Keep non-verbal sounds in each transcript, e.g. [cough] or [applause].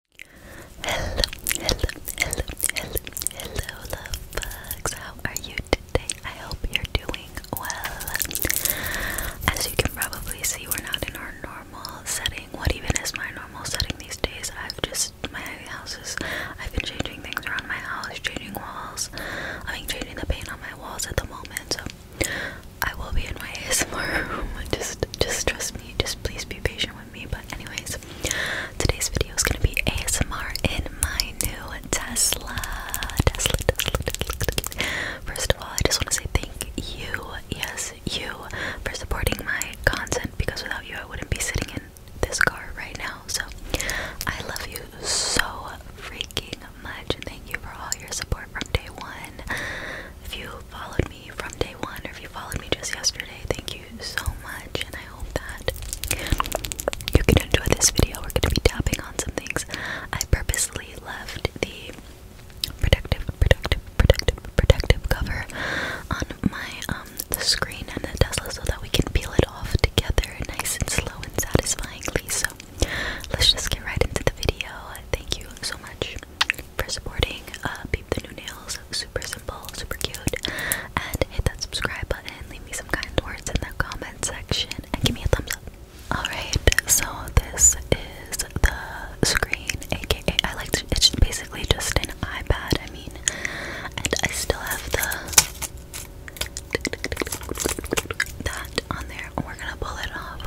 Hello, hello, hello, hello, hello, love bugs. How are you today? I hope you're doing well. As you can probably see, we're not in our normal setting. What even is my normal setting these days? I've just my house is. I've been changing things around my house, changing walls. I mean, changing the paint on my walls at the moment. So I will be in my ASMR [laughs] room. Just, just trust me. Just please be patient but anyways, today's video is gonna be ASMR in my new Tesla. Tesla, Tesla, Tesla. First of all, I just want to say thank you, yes, you, for supporting my content because without you, I wouldn't be sitting in this car right now. So I love you so freaking much, and thank you for all your support from day one. If you followed me from day one or if you followed me just yesterday, thank you so much. And I hope that you can enjoy this video. We're going to be tapping on some things. I purposely left the protective, protective, protective, protective cover on my um the screen and the Tesla so that we can peel it off together nice and slow and satisfyingly. So let's just get right into the video. Thank you so much for supporting uh, Peep the New Nails. Super simple, super cute. And hit that subscribe button, leave me some kind words in the comment section, and give me a thumbs up. Alright, so this is the screen, aka I like to, it's basically just an iPad, I mean, and I still have the that on there, we're gonna pull it off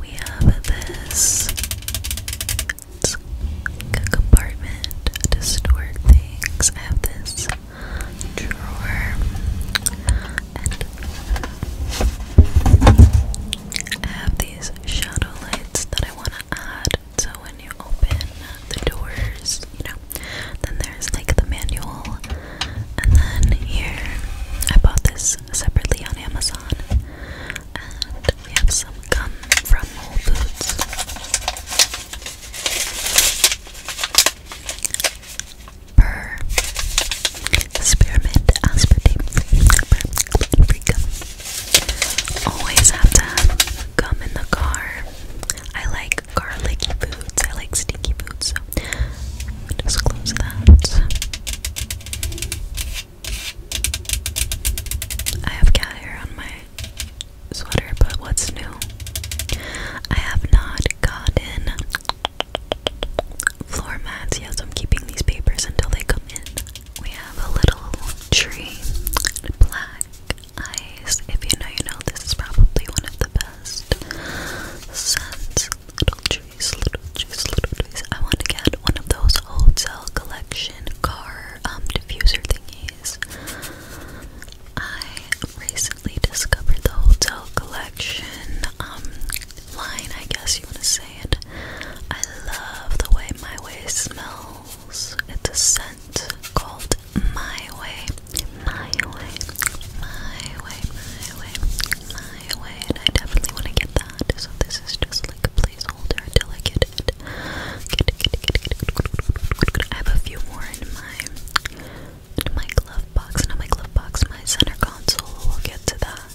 We have this compartment to store things. I have this drawer and I have these shadow lights that I want to add. So when you open the doors, you know, then there's like the manual. And then here, I bought this separately on Amazon. And we have some gum from Whole Foods. Burr. Spearmint aspartame free, free gum. Always have to have gum in the car. I like garlicky foods, I like stinky foods, so just that. I have cat on my sweater, but what's new? I have not gotten floor mats. Yes, I'm keeping these papers until they come in. We have a little tree, black eyes. If you know, you know, this is probably one of the best scents. Little trees, little trees, little trees. I want to get one of those hotel collection car um, diffuser thingies. I recently discovered the hotel collection um, line, I guess you want to say it. I love the way my way smells. It's a scent called My Way. My Way. My Way. My Way. My highway, and I definitely want to get that. So this is just like a placeholder until I get it. I have a few more in my in my glove box, not my glove box, my center console. We'll get to that.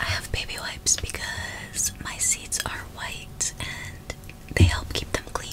I have baby wipes because my seats are white and they help keep them clean.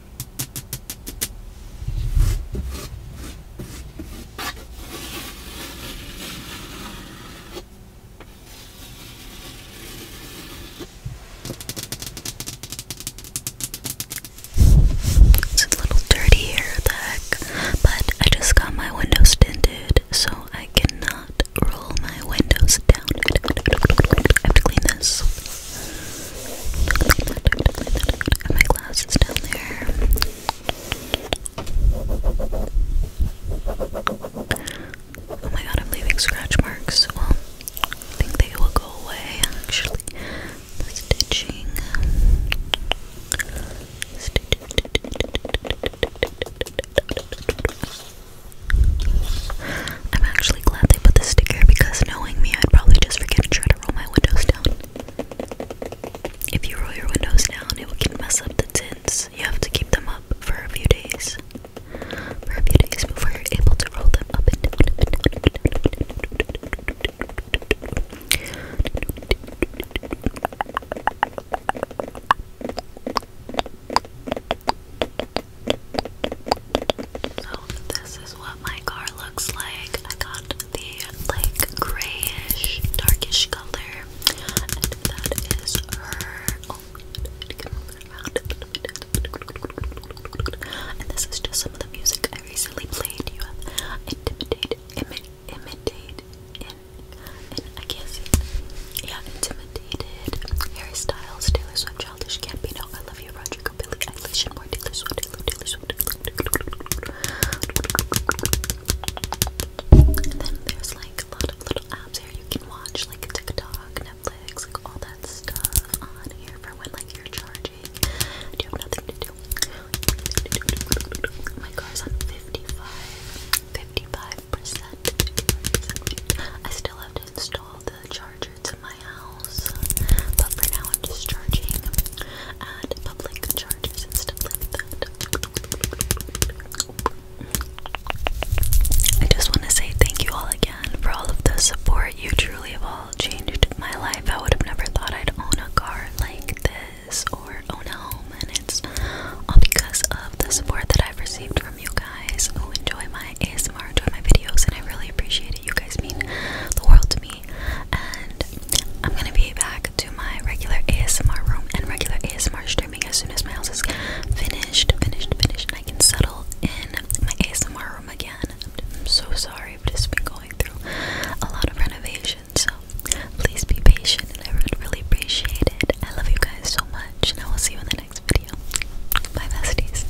It's a little dirty here, the heck, but I just got my windows tinted, so I cannot roll my windows down. I have to clean this my glasses down there. Oh my god, I'm leaving scratch marks. Well, I think they will go away actually. stitching. I'm actually glad they put the sticker because knowing me, I'd probably just forget to roll my windows down. If you roll your windows down, it will get mess up the tints. You have to keep them up for a few days. For a few days before you're able to roll them up and down this is what my car looks like. I got the like grayish, darkish color, and that is her. Oh, and this is just some of the music I recently played. You have intimidate, imi imitate, in, I can't see. Yeah, intimidated. Harry Styles, Taylor Swift, Childish Gambino. I love you, Roger Sugar, Billie Eilish, then there's like a lot of little apps here you can watch, like TikTok, Netflix, all that stuff on here for when like you're charging you have nothing to do. My car's on 55, 55%. I still have to install the charger to my house. But for now, I'm just charging at public charges and stuff like that. I just want to say thank you all again for all of the support. You truly have all changed my life. I would have never thought I'd own a car like this or own a home, and it's all because of the support that I've received from you guys who enjoy my ASMR, enjoy my videos, and I really appreciate it. You guys mean the world to me and I'm gonna be back to my regular ASMR room and regular ASMR streaming as soon as my house is finished, finished, finished, and I can settle in my ASMR room again. I'm so sorry, I've just been going through a lot of renovations, so please be patient, and I would really appreciate it. I love you guys so much, and I will see you in the next video. Bye, besties.